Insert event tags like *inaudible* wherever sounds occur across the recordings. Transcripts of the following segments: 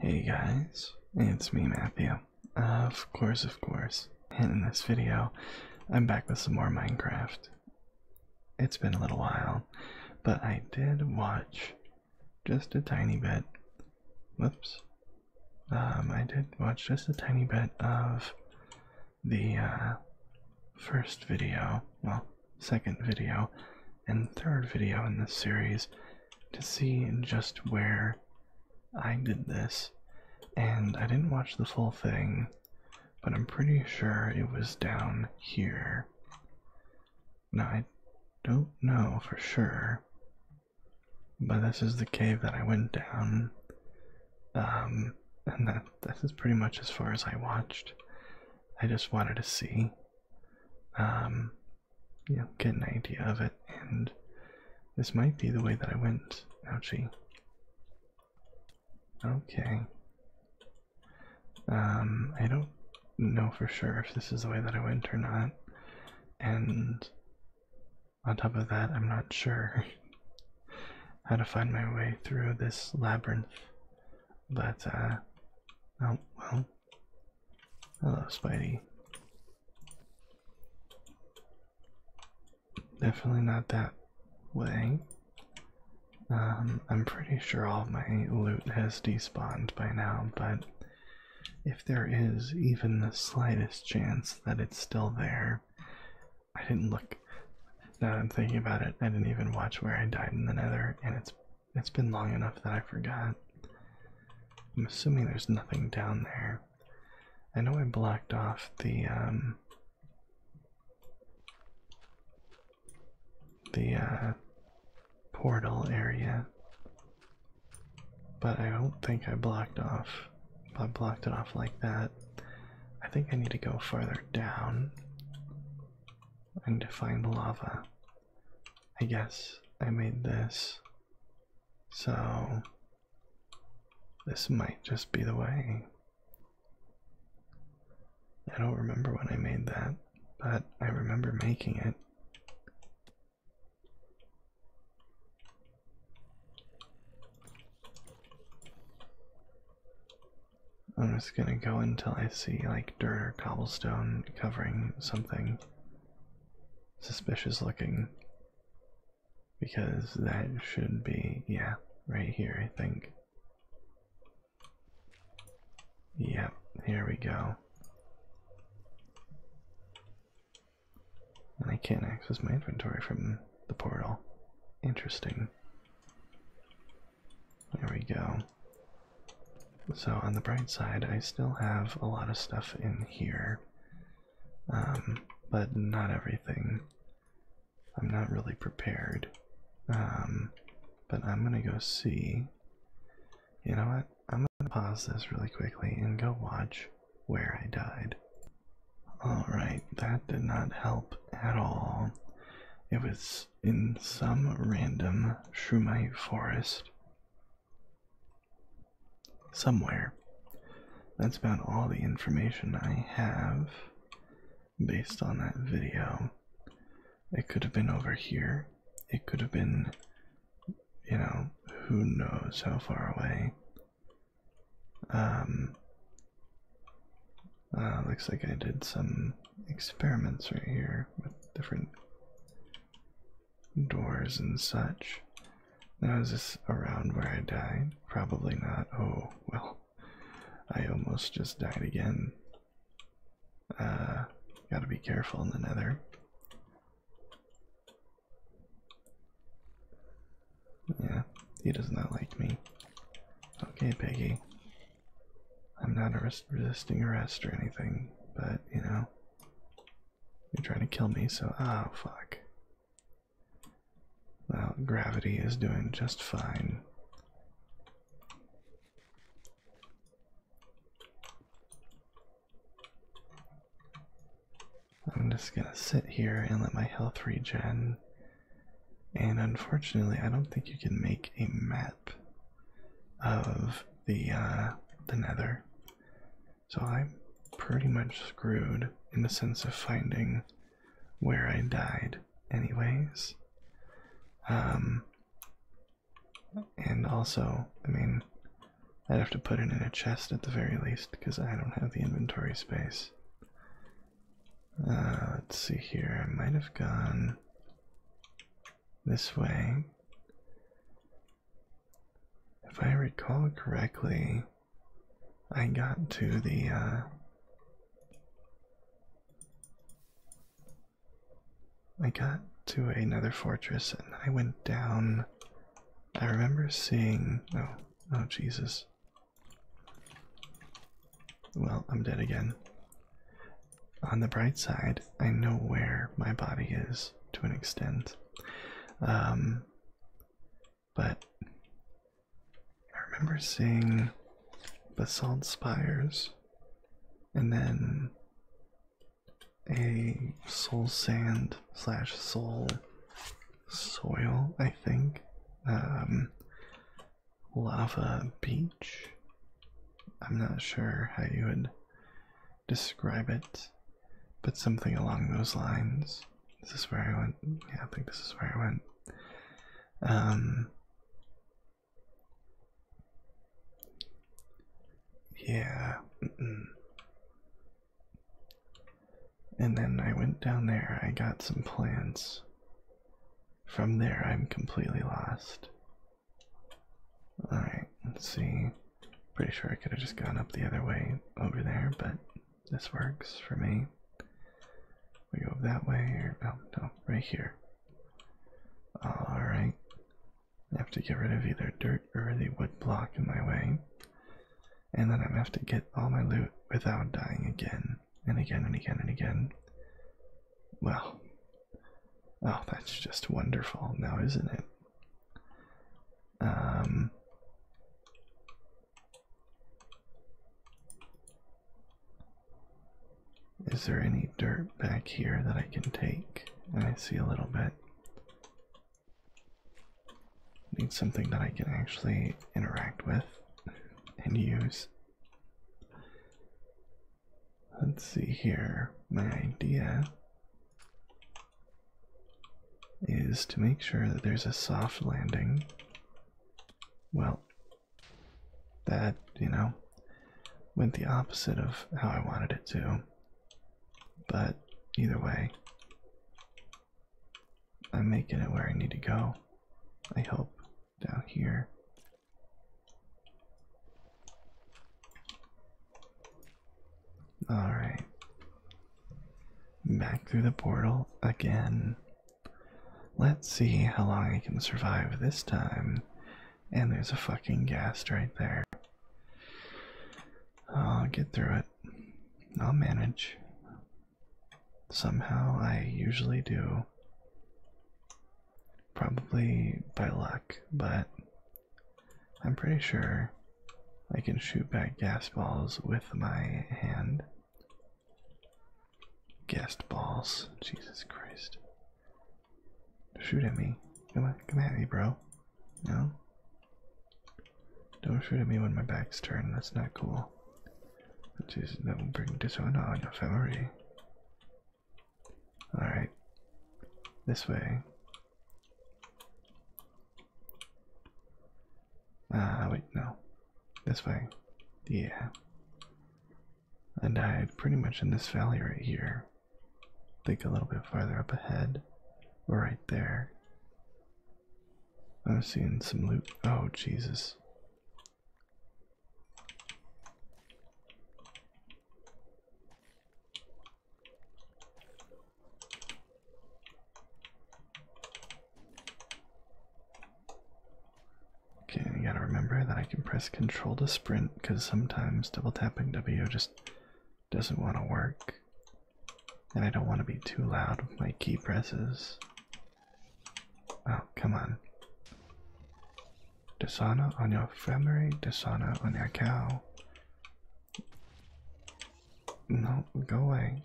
Hey guys, it's me Matthew. Uh, of course, of course. And in this video, I'm back with some more Minecraft. It's been a little while, but I did watch just a tiny bit. Whoops. Um, I did watch just a tiny bit of the uh, first video, well, second video, and third video in this series to see just where I did this. And I didn't watch the full thing, but I'm pretty sure it was down here. Now, I don't know for sure, but this is the cave that I went down. Um, and that this is pretty much as far as I watched. I just wanted to see. Um, you know, get an idea of it. And this might be the way that I went. Ouchie. Okay. Um, I don't know for sure if this is the way that I went or not. And on top of that, I'm not sure *laughs* how to find my way through this labyrinth. But, uh, oh, well, Hello, ah, Spidey. Definitely not that way. Um, I'm pretty sure all my loot has despawned by now, but if there is even the slightest chance that it's still there, I didn't look. Now that I'm thinking about it, I didn't even watch where I died in the nether, and it's it's been long enough that I forgot. I'm assuming there's nothing down there. I know I blocked off the um, the uh, portal area. But I don't think I blocked off I blocked it off like that. I think I need to go farther down and to find lava. I guess I made this. So this might just be the way. I don't remember when I made that, but I remember making it. I'm just gonna go until I see like dirt or cobblestone covering something suspicious looking because that should be, yeah, right here, I think. Yep, here we go. And I can't access my inventory from the portal. Interesting. There we go. So, on the bright side, I still have a lot of stuff in here, um, but not everything. I'm not really prepared. Um, but I'm gonna go see. You know what? I'm gonna pause this really quickly and go watch where I died. Alright, that did not help at all. It was in some random Shumai forest somewhere. That's about all the information I have based on that video. It could have been over here. It could have been, you know, who knows how far away. Um, uh, looks like I did some experiments right here with different doors and such. Now, this around where I died? Probably not. Oh, well, I almost just died again. Uh, gotta be careful in the nether. Yeah, he does not like me. Okay, Peggy. I'm not resisting arrest or anything, but you know, you're trying to kill me, so oh fuck. Well, gravity is doing just fine. I'm just gonna sit here and let my health regen. And unfortunately, I don't think you can make a mat of the uh, the Nether, so I'm pretty much screwed in the sense of finding where I died, anyways. Um, and also, I mean, I'd have to put it in a chest at the very least because I don't have the inventory space. Uh, let's see here. I might have gone this way. If I recall correctly, I got to the uh, I got to another fortress and I went down. I remember seeing oh oh Jesus. Well, I'm dead again on the bright side, I know where my body is to an extent. Um, but I remember seeing basalt spires and then a soul sand slash soul soil, I think. Um, lava beach. I'm not sure how you would describe it, but something along those lines. This Is where I went? Yeah, I think this is where I went. Um, yeah. And then I went down there, I got some plants. From there, I'm completely lost. Alright, let's see. Pretty sure I could have just gone up the other way over there, but this works for me. We go that way, or no, oh, no, right here. Alright. I have to get rid of either dirt or the wood block in my way. And then I have to get all my loot without dying again and again and again and again. Well, Oh, that's just wonderful now, isn't its um, there any dirt back here that I can take? I see a little bit. Need something that I can actually interact with and use let's see here. My idea is to make sure that there's a soft landing. Well, that, you know, went the opposite of how I wanted it to. But either way, I'm making it where I need to go. I hope down here. Alright. Back through the portal again. Let's see how long I can survive this time. And there's a fucking ghast right there. I'll get through it. I'll manage. Somehow I usually do. Probably by luck, but I'm pretty sure I can shoot back gas balls with my hand. Gas balls. Jesus Christ. Shoot at me. Come on, come at me, bro. No? Don't shoot at me when my back's turned. That's not cool. Jesus, that will bring dishonor on your family. All right, this way. Ah, wait, no. This way. Yeah. And I pretty much in this valley right here. Think a little bit farther up ahead. Or right there. I'm seeing some loot. Oh, Jesus. Okay, you gotta remember that I can press control to sprint because sometimes double tapping W just doesn't want to work. And I don't want to be too loud with my key presses. Oh, come on. Dishonor on your family, dishonor on your cow, no, going. away.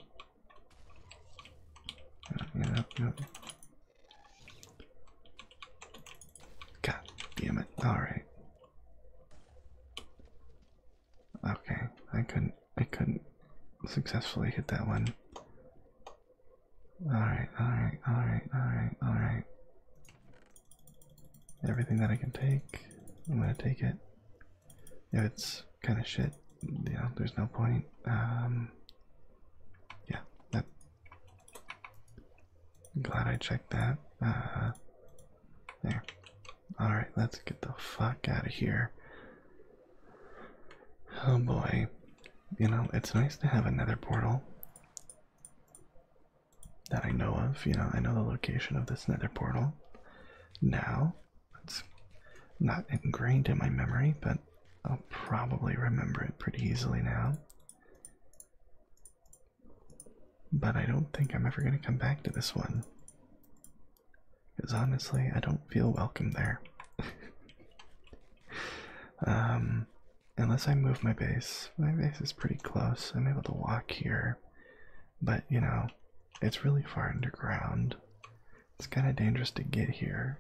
No, no, no. God damn it. Alright. Okay, I couldn't I couldn't successfully hit that one. Alright, alright, alright, alright, alright everything that I can take, I'm gonna take it. If it's kind of shit, you know, there's no point. Um, yeah, that. I'm glad I checked that. Uh, there. All right, let's get the fuck out of here. Oh boy, you know it's nice to have another portal that I know of. You know, I know the location of this nether portal. Now, it's not ingrained in my memory, but I'll probably remember it pretty easily now. But I don't think I'm ever going to come back to this one. Because honestly, I don't feel welcome there. *laughs* um, unless I move my base. My base is pretty close. I'm able to walk here. But you know, it's really far underground. It's kind of dangerous to get here.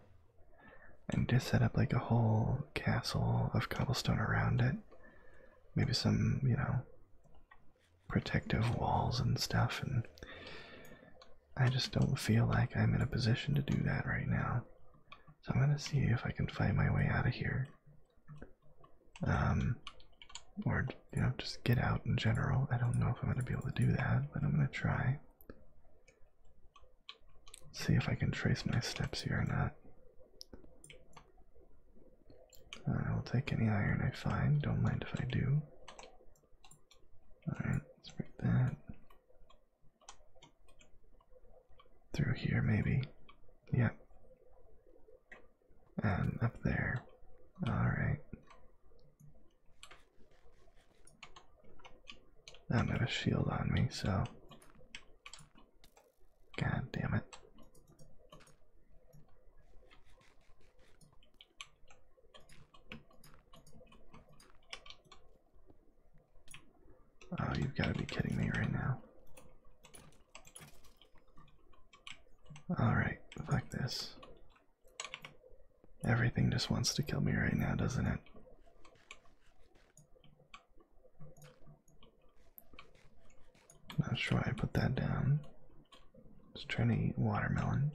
And just set up like a whole castle of cobblestone around it. Maybe some, you know, protective walls and stuff. And I just don't feel like I'm in a position to do that right now. So I'm going to see if I can find my way out of here um, or you know just get out in general. I don't know if I'm going to be able to do that, but I'm going to try. See if I can trace my steps here or not. Uh, I will take any iron I find. Don't mind if I do. All right, let's break that through here, maybe. yeah. And up there. Alright. I I'm not a shield on me, so. God damn it. Oh, you've got to be kidding me right now. Alright, fuck this. Everything just wants to kill me right now, doesn't it? Not sure why I put that down. Just trying to eat watermelon.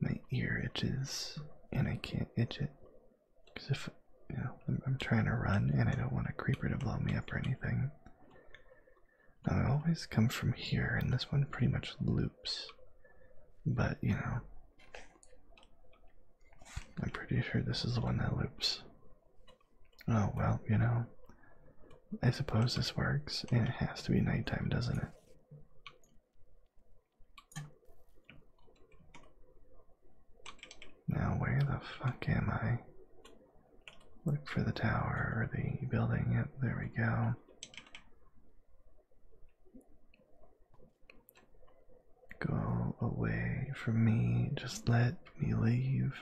My ear itches, and I can't itch it. Because if, you know, I'm, I'm trying to run and I don't want a creeper to blow me up or anything. Now, I always come from here, and this one pretty much loops. But, you know, I'm pretty sure this is the one that loops. Oh, well, you know, I suppose this works, and it has to be nighttime, doesn't it? Now, where the fuck am I? Look for the tower or the building. Yep, there we go. Go away from me. Just let me leave.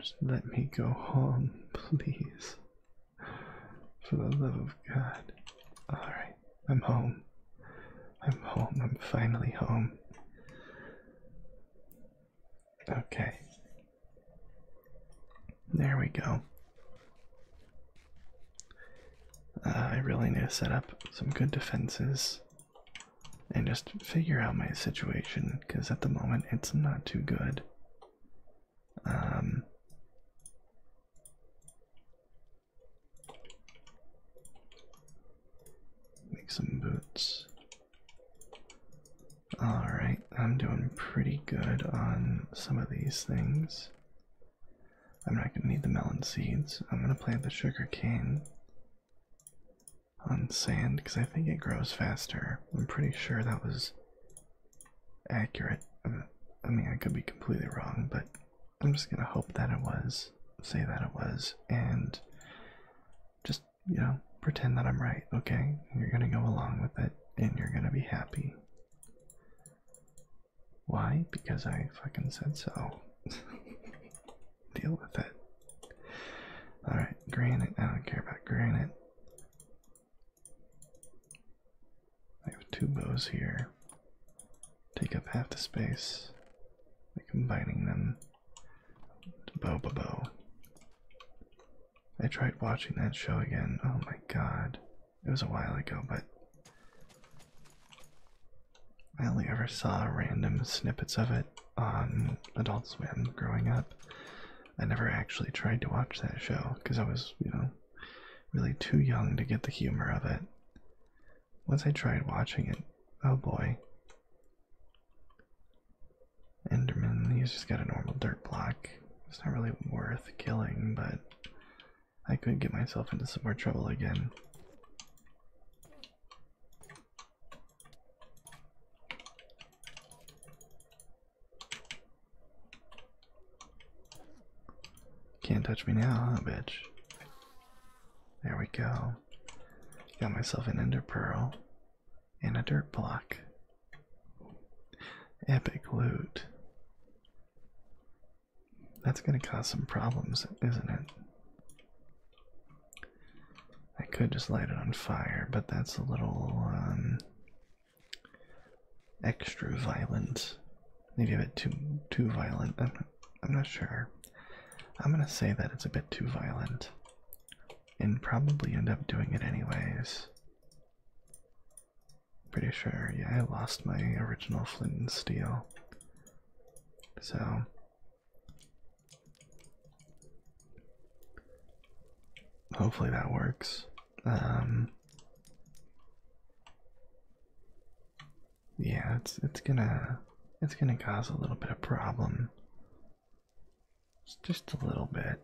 Just let me go home, *laughs* please. For the love of God. Alright, I'm home. I'm home. I'm finally home. Okay. There we go. Uh, I really need to set up some good defenses and just figure out my situation because at the moment it's not too good. Um, Make some boots. Alright, I'm doing pretty good on some of these things. I'm not going to need the melon seeds. I'm going to plant the sugar cane on sand because I think it grows faster. I'm pretty sure that was accurate. Um, I mean, I could be completely wrong, but I'm just going to hope that it was, say that it was, and just you know pretend that i'm right okay you're gonna go along with it and you're gonna be happy why because i fucking said so *laughs* deal with it all right granite i don't care about granite i have two bows here take up half the space by combining them Bo Bo Bo. I tried watching that show again. Oh my god. It was a while ago, but I only ever saw random snippets of it on Adult Swim growing up. I never actually tried to watch that show because I was, you know, really too young to get the humor of it once I tried watching it, oh boy. Enderman, he's just got a normal dirt block. It's not really worth killing, but I could get myself into some more trouble again. Can't touch me now, huh, bitch? There we go. Got myself an ender pearl and a dirt block. Epic loot. That's going to cause some problems, isn't it? I could just light it on fire, but that's a little um, extra violent. Maybe a bit too too violent. I'm I'm not sure. I'm gonna say that it's a bit too violent and probably end up doing it anyways. Pretty sure, yeah, I lost my original flint and steel. So. Hopefully that works. Um. Yeah, it's it's gonna it's going to cause a little bit of problem. It's just a little bit,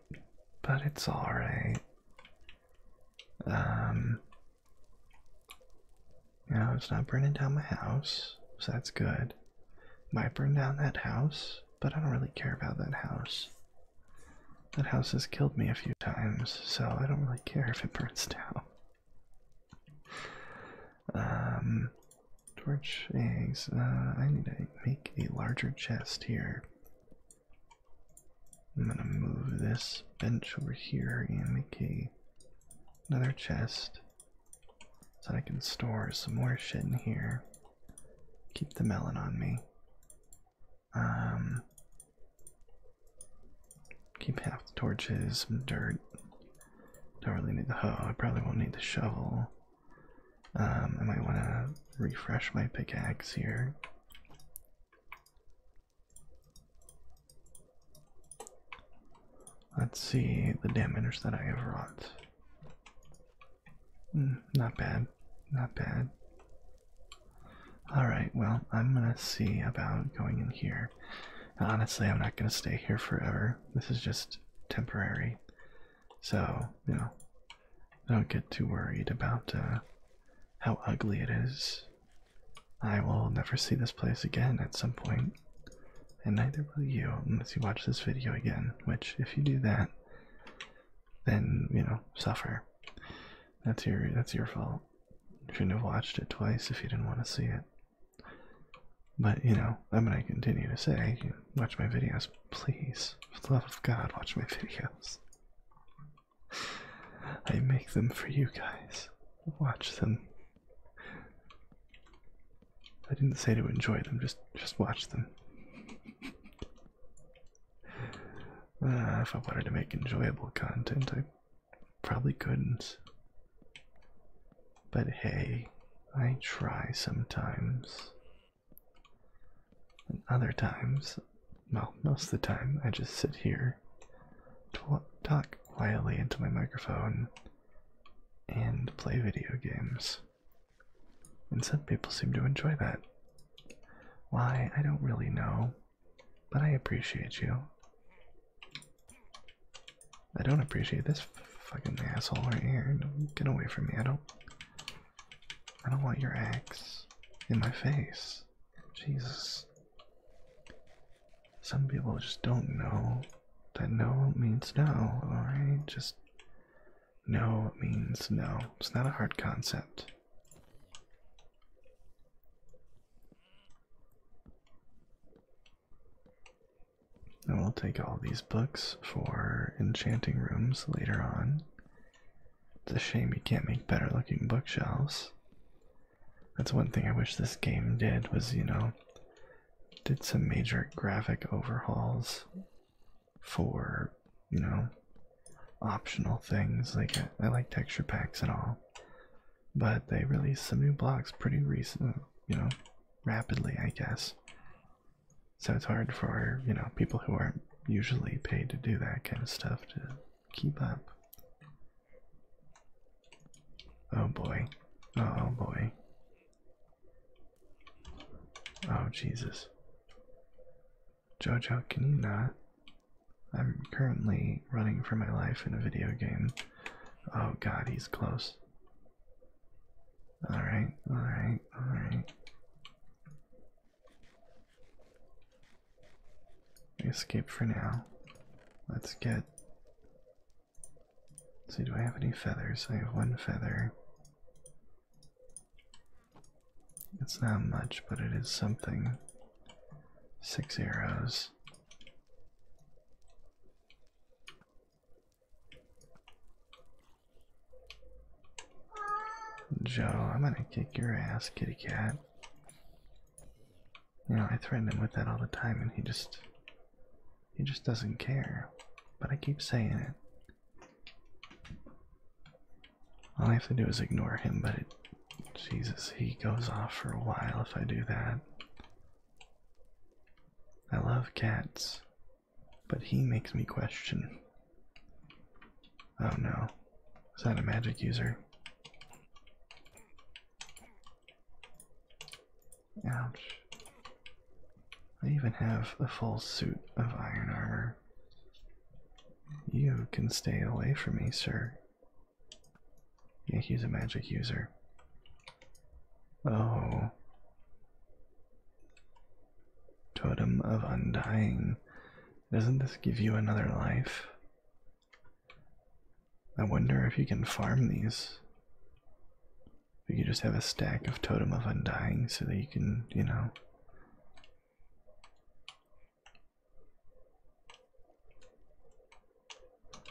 but it's all right. Um, you it's not burning down my house, so that's good. Might burn down that house, but I don't really care about that house. That house has killed me a few times, so I don't really care if it burns *laughs* down. Um, Torch eggs. Uh, I need to make a larger chest here. I'm gonna move this bench over here and make a another chest so I can store some more shit in here. Keep the melon on me. Um, keep half the torches, some dirt, don't really need the hoe. I probably won't need the shovel. Um, I might want to refresh my pickaxe here. Let's see the damage that I have wrought. Hmm, not bad. Not bad. Alright, well, I'm gonna see about going in here honestly, I'm not going to stay here forever. This is just temporary. So, you know, don't get too worried about uh, how ugly it is. I will never see this place again at some point, and neither will you unless you watch this video again, which, if you do that, then, you know, suffer. That's your, that's your fault. You shouldn't have watched it twice if you didn't want to see it. But you know, I'm gonna continue to say, watch my videos, please. For the love of God, watch my videos. I make them for you guys. Watch them. I didn't say to enjoy them, just just watch them. *laughs* Uh, if I wanted to make enjoyable content, I probably couldn't. But hey, I try sometimes. And other times, well, most of the time, I just sit here, talk quietly into my microphone, and play video games. And some people seem to enjoy that. Why, I don't really know, but I appreciate you. I don't appreciate this fucking asshole right here. Get away from me. I don't I don't want your axe in my face. Jesus. Some people just don't know that no means no, alright? Just no means no. It's not a hard concept. And we'll take all these books for enchanting rooms later on. It's a shame you can't make better looking bookshelves. That's one thing I wish this game did was, you know, did some major graphic overhauls for, you know, optional things. Like, I, like texture packs and all. But they released some new blocks pretty recently you know, rapidly, I guess. So it's hard for, you know, people who aren't usually paid to do that kind of stuff to keep up. Oh boy. Oh, oh boy. Oh Jesus. Jojo, can you not? I'm currently running for my life in a video game. Oh god, he's close. All right, all right, all right. escape for now. Let's get. see, do I have any feathers? I have one feather. It's not much, but it is something. Six arrows. Joe, I'm gonna kick your ass, kitty cat. You know, I threaten him with that all the time and he just he just doesn't care. But I keep saying it. All I have to do is ignore him, but Jesus, he goes off for a while if I do that. I love cats, but he makes me question. Oh no, is that a magic user? Ouch. I even have a full suit of iron armor. You can stay away from me, sir. Yeah, he's a magic user. Oh. Totem of Undying. Doesn't this give you another life? I wonder if you can farm these. If you just have a stack of Totem of Undying so that you can, you know.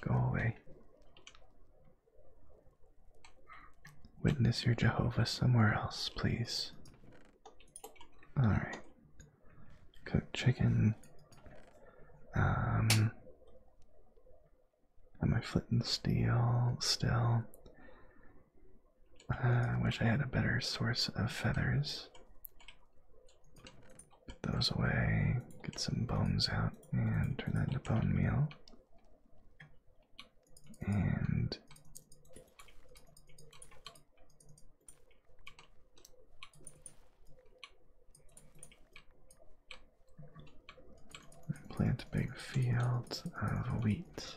Go away. Witness your Jehovah somewhere else, please. Alright. Cook chicken. Um. Am I flint and steel still? Uh, I wish I had a better source of feathers. Put those away, get some bones out, and turn that into bone meal. And plant a big field of wheat.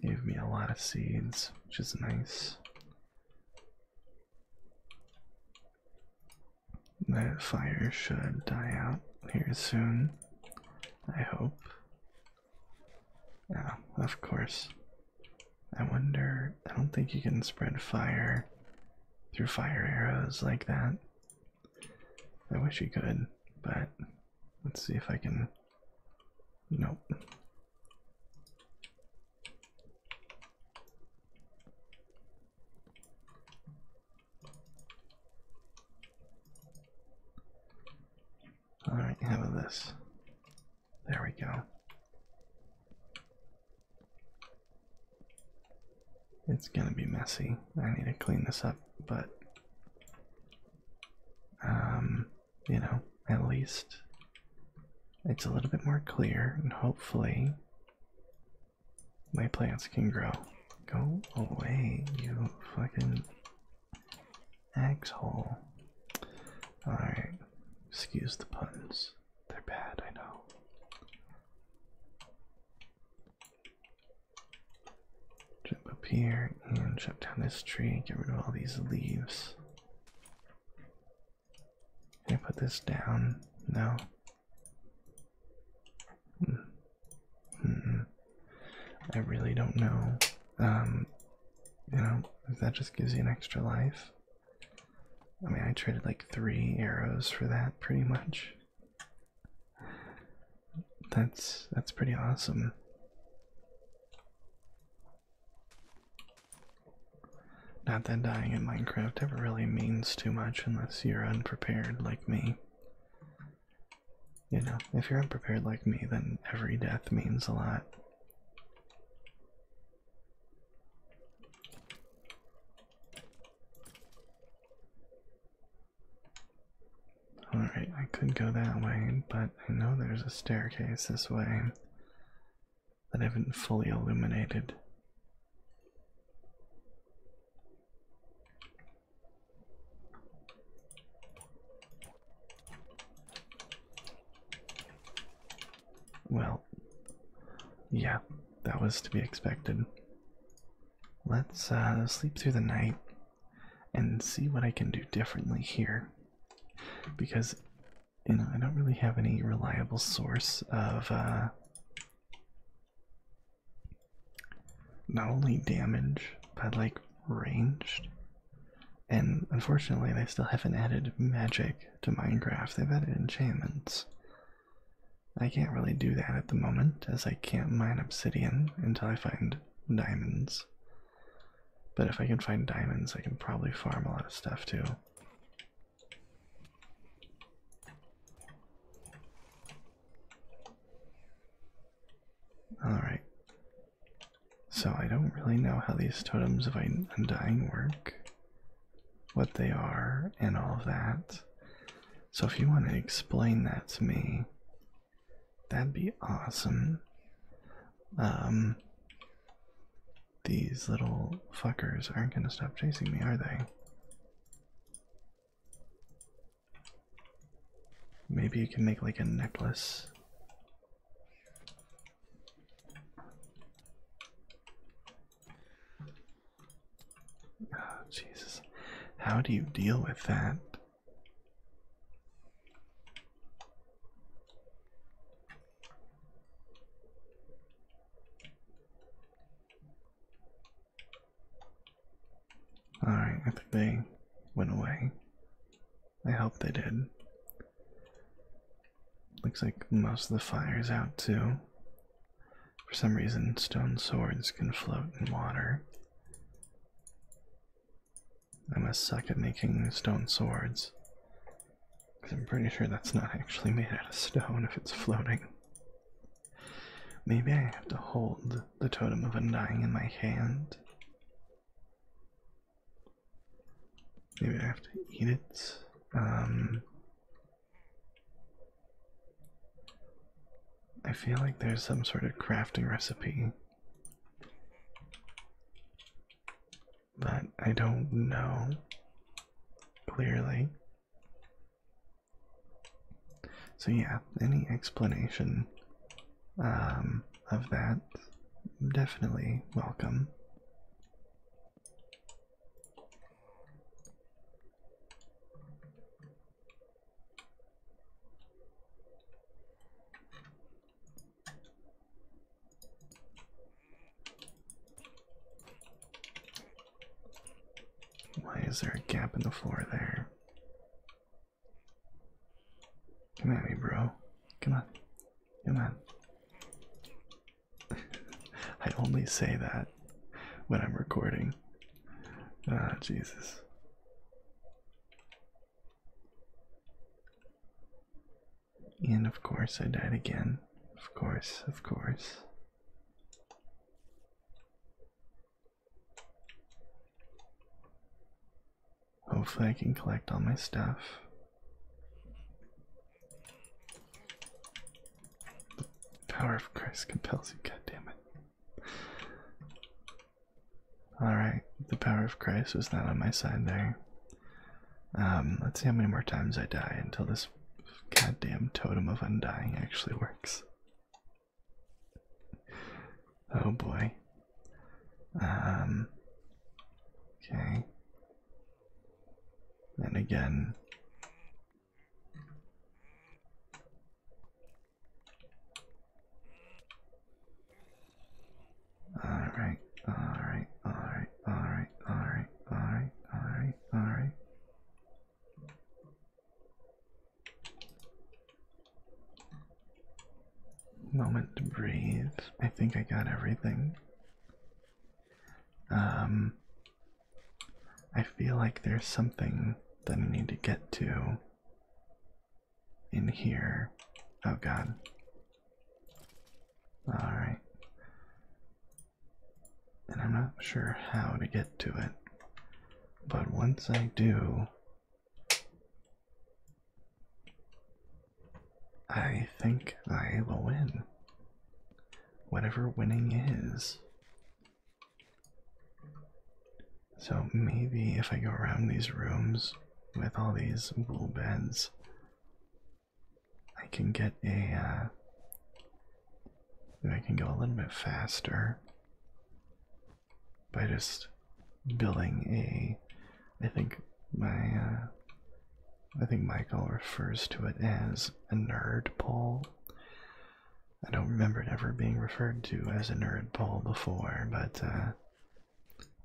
Gave me a lot of seeds, which is nice. That fire should die out here soon, I hope. Yeah, of course. I wonder, I don't think you can spread fire through fire arrows like that. I wish you could, but let's see if I can. Nope. All right, how about this? There we go. It's gonna be messy. I need to clean this up, but um, you know, at least it's a little bit more clear, and hopefully my plants can grow. Go away, you fucking asshole. Alright, excuse the puns. They're bad, I know. Jump up here and chop down this tree, get rid of all these leaves. Can I put this down? No. Mm. Mm I really don't know. Um, you know, that just gives you an extra life. I mean, I traded like three arrows for that, pretty much. That's that's pretty awesome. Not that dying in Minecraft ever really means too much unless you're unprepared like me. You know, if you're unprepared like me, then every death means a lot. Alright, I could go that way, but I know there's a staircase this way that haven't fully illuminated. Well, yeah, that was to be expected. Let's uh, sleep through the night and see what I can do differently here. Because you know, I don't really have any reliable source of uh, not only damage, but like range. And unfortunately, they still haven't added magic to Minecraft. They've added enchantments. I can't really do that at the moment, as I can't mine obsidian until I find diamonds. But if I can find diamonds, I can probably farm a lot of stuff too. All right. So I don't really know how these totems of undying work, what they are, and all of that. So if you want to explain that to me, that'd be awesome. Um, these little fuckers aren't going to stop chasing me, are they? Maybe you can make like a necklace. Oh, Jesus. How do you deal with that? Alright, I think they went away. I hope they did. Looks like most of the fire's out too. For some reason, stone swords can float in water. I am a suck at making stone swords. Because I'm pretty sure that's not actually made out of stone if it's floating. Maybe I have to hold the Totem of a Undying in my hand. Maybe I have to eat it. Um, I feel like there's some sort of crafting recipe. But I don't know clearly. So yeah, any explanation um, of that definitely welcome. Why is there a gap in the floor there? Come at me, bro. Come on. Come on. *laughs* I only say that when I'm recording. Ah, Jesus. And of course, I died again. Of course, of course. Hopefully, I can collect all my stuff. The power of Christ compels you, God damn it. Alright, the power of Christ was not on my side there. Um, let's see how many more times I die until this this goddamn totem of undying actually works. Oh boy. Um. Okay. And again. Alright, alright, alright, alright, alright, alright, alright, alright, Moment to breathe. I think I got everything. Um, I feel like there's something that I need to get to in here. Oh god. Alright and I'm not sure how to get to it. But once I do, I think I will win. Whatever winning is. So maybe if I go around these rooms with all these wool beds, I can get a. Uh, can go a little bit faster by just building a. I think my. Uh, I think Michael refers to it as a nerd pole. I don't remember it ever being referred to as a nerd pole before, but uh,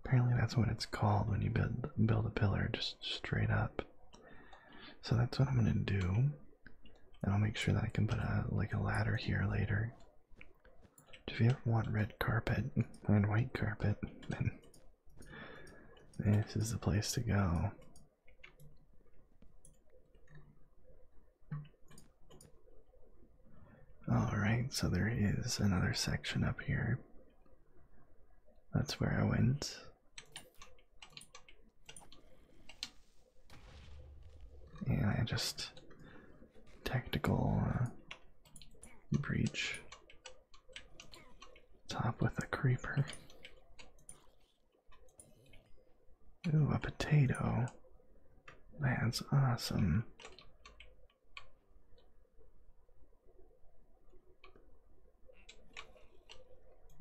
apparently that's what it's called when you build build a pillar just straight up. So that's what I'm gonna do. And I'll make sure that I can put a like a ladder here later. If you ever want red carpet *laughs* and white carpet, then this is the place to go. Alright, so there is another section up here. That's where I went. Yeah, just tactical uh, breach. Top with a creeper. Ooh, a potato. That's awesome.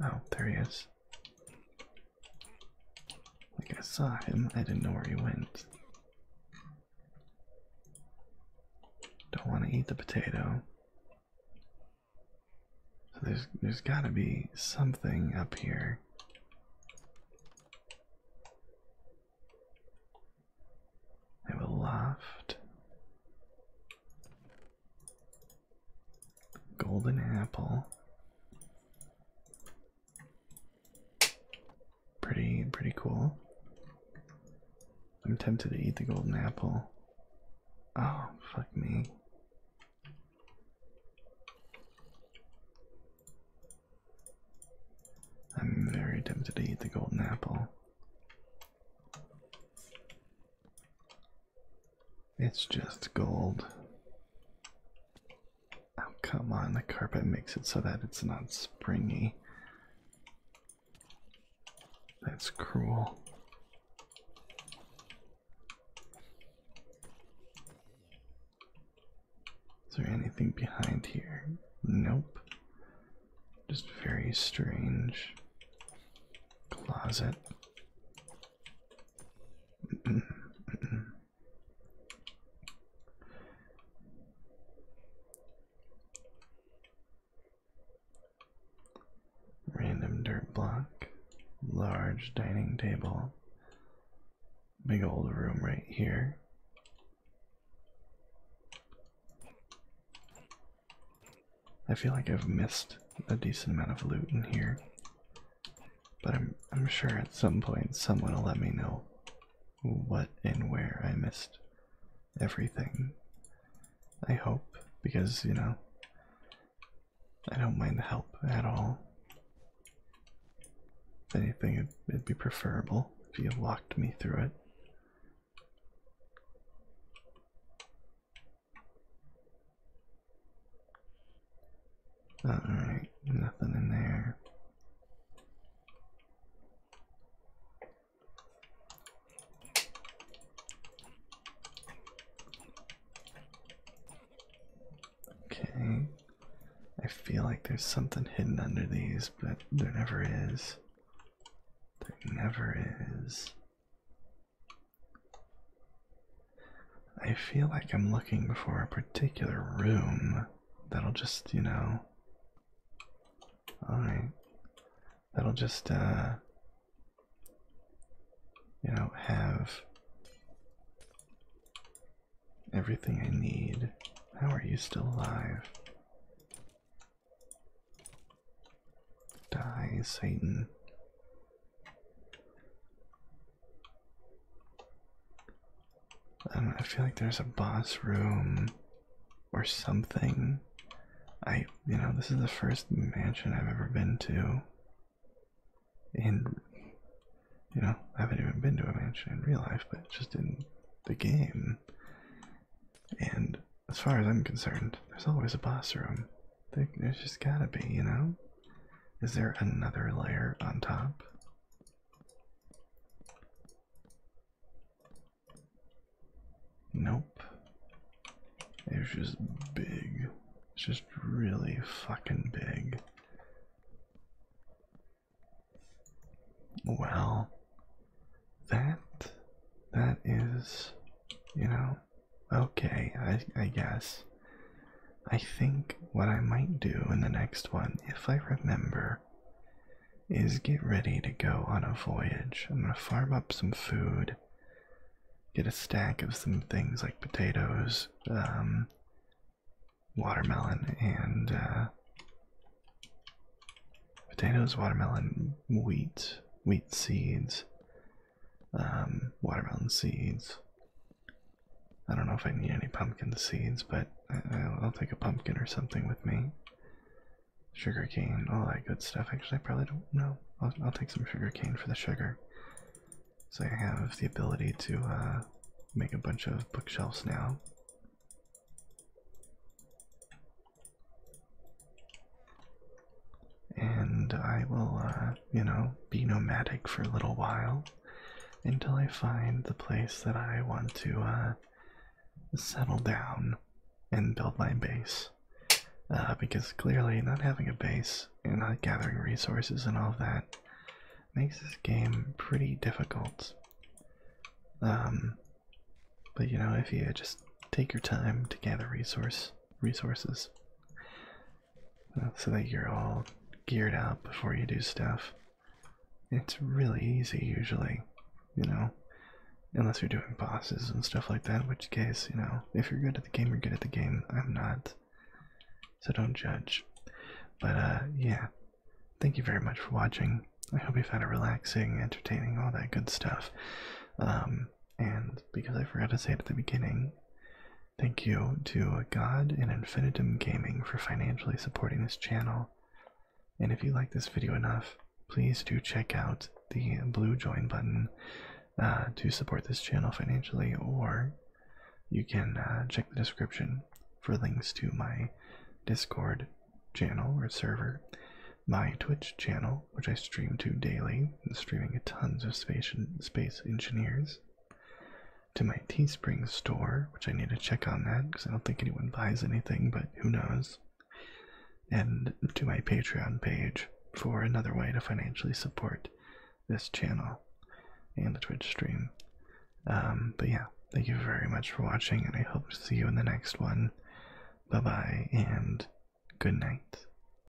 Oh, there he is. Like, I saw him, I didn't know where he went. Don't want to eat the potato. So there's there's gotta be something up here. I have a Golden apple. Pretty, pretty cool. I'm tempted to eat the golden apple. Oh, fuck me. I'm very tempted to eat the golden apple. It's just gold. Oh, come on, the carpet makes it so that it's not springy. That's cruel. Is there anything behind here? Nope. Just very strange closet. Random dirt block, large dining table, big old room right here. I feel like I've missed a decent amount of loot in here. But I'm I'm sure at some point someone will let me know what and where I missed everything. I hope, because you know I don't mind the help at all. anything it'd be preferable if you walked me through it. Uh, Alright, nothing in there. Okay. I feel like there's something hidden under these, but there never is. There never is. I feel like I'm looking for a particular room that'll just, you know. Alright. That'll just, uh. You know, have everything I need. How are you still alive? Die, Satan. Um, I feel like there's a boss room or something. I, you know, this is the first mansion I've ever been to. And, you know, I haven't even been to a mansion in real life, but just in the game. And as far as I'm concerned, there's always a boss room there's just gotta be, you know? Is there another layer on top? Nope. It's just big. It's just really fucking big. Well, that, that is, you know, Okay, I, guess. I think what I might do in the next one, if I remember, is get ready to go on a voyage. I'm gonna farm up some food, get a stack of some things like potatoes, um, watermelon, and uh, potatoes, watermelon, wheat, wheat seeds, um, watermelon seeds. I don't know if I need any pumpkin seeds, but I'll, take a pumpkin or something with me. Sugar cane, all that good stuff. Actually, I probably don't know. I'll, take some sugar cane for the sugar. So I have the ability to uh, make a bunch of bookshelves now and I will, uh, you know, be nomadic for a little while until I find the place that I want to uh, settle down and build my base. Uh, because clearly, not having a base and not gathering resources and all of that makes this game pretty difficult. Um, but you know, if you just take your time to gather resource resources, so that you're all geared up before you do stuff. It's really easy usually, you know, unless you're doing bosses and stuff like that, which case, you know, if you're good at the game, you're good at the game. I'm not, so don't judge. But uh, yeah, thank you very much for watching. I hope you've had a relaxing, entertaining, all that good stuff. Um, and because I forgot to say it at the beginning, thank you to God and Infinitum Gaming for financially supporting this channel. And if you like this video enough, please do check out the blue join button uh, to support this channel financially, or you can uh, check the description for links to my Discord channel or server, my Twitch channel, which I stream to daily, and streaming tons of space, engineers, to my Teespring store, which I need to check on that because I don't think anyone buys anything, but who knows, and to my Patreon page for another way to financially support this channel and the Twitch stream. Um, but yeah, thank you very much for watching, and I hope to see you in the next one. Bye bye, and good night.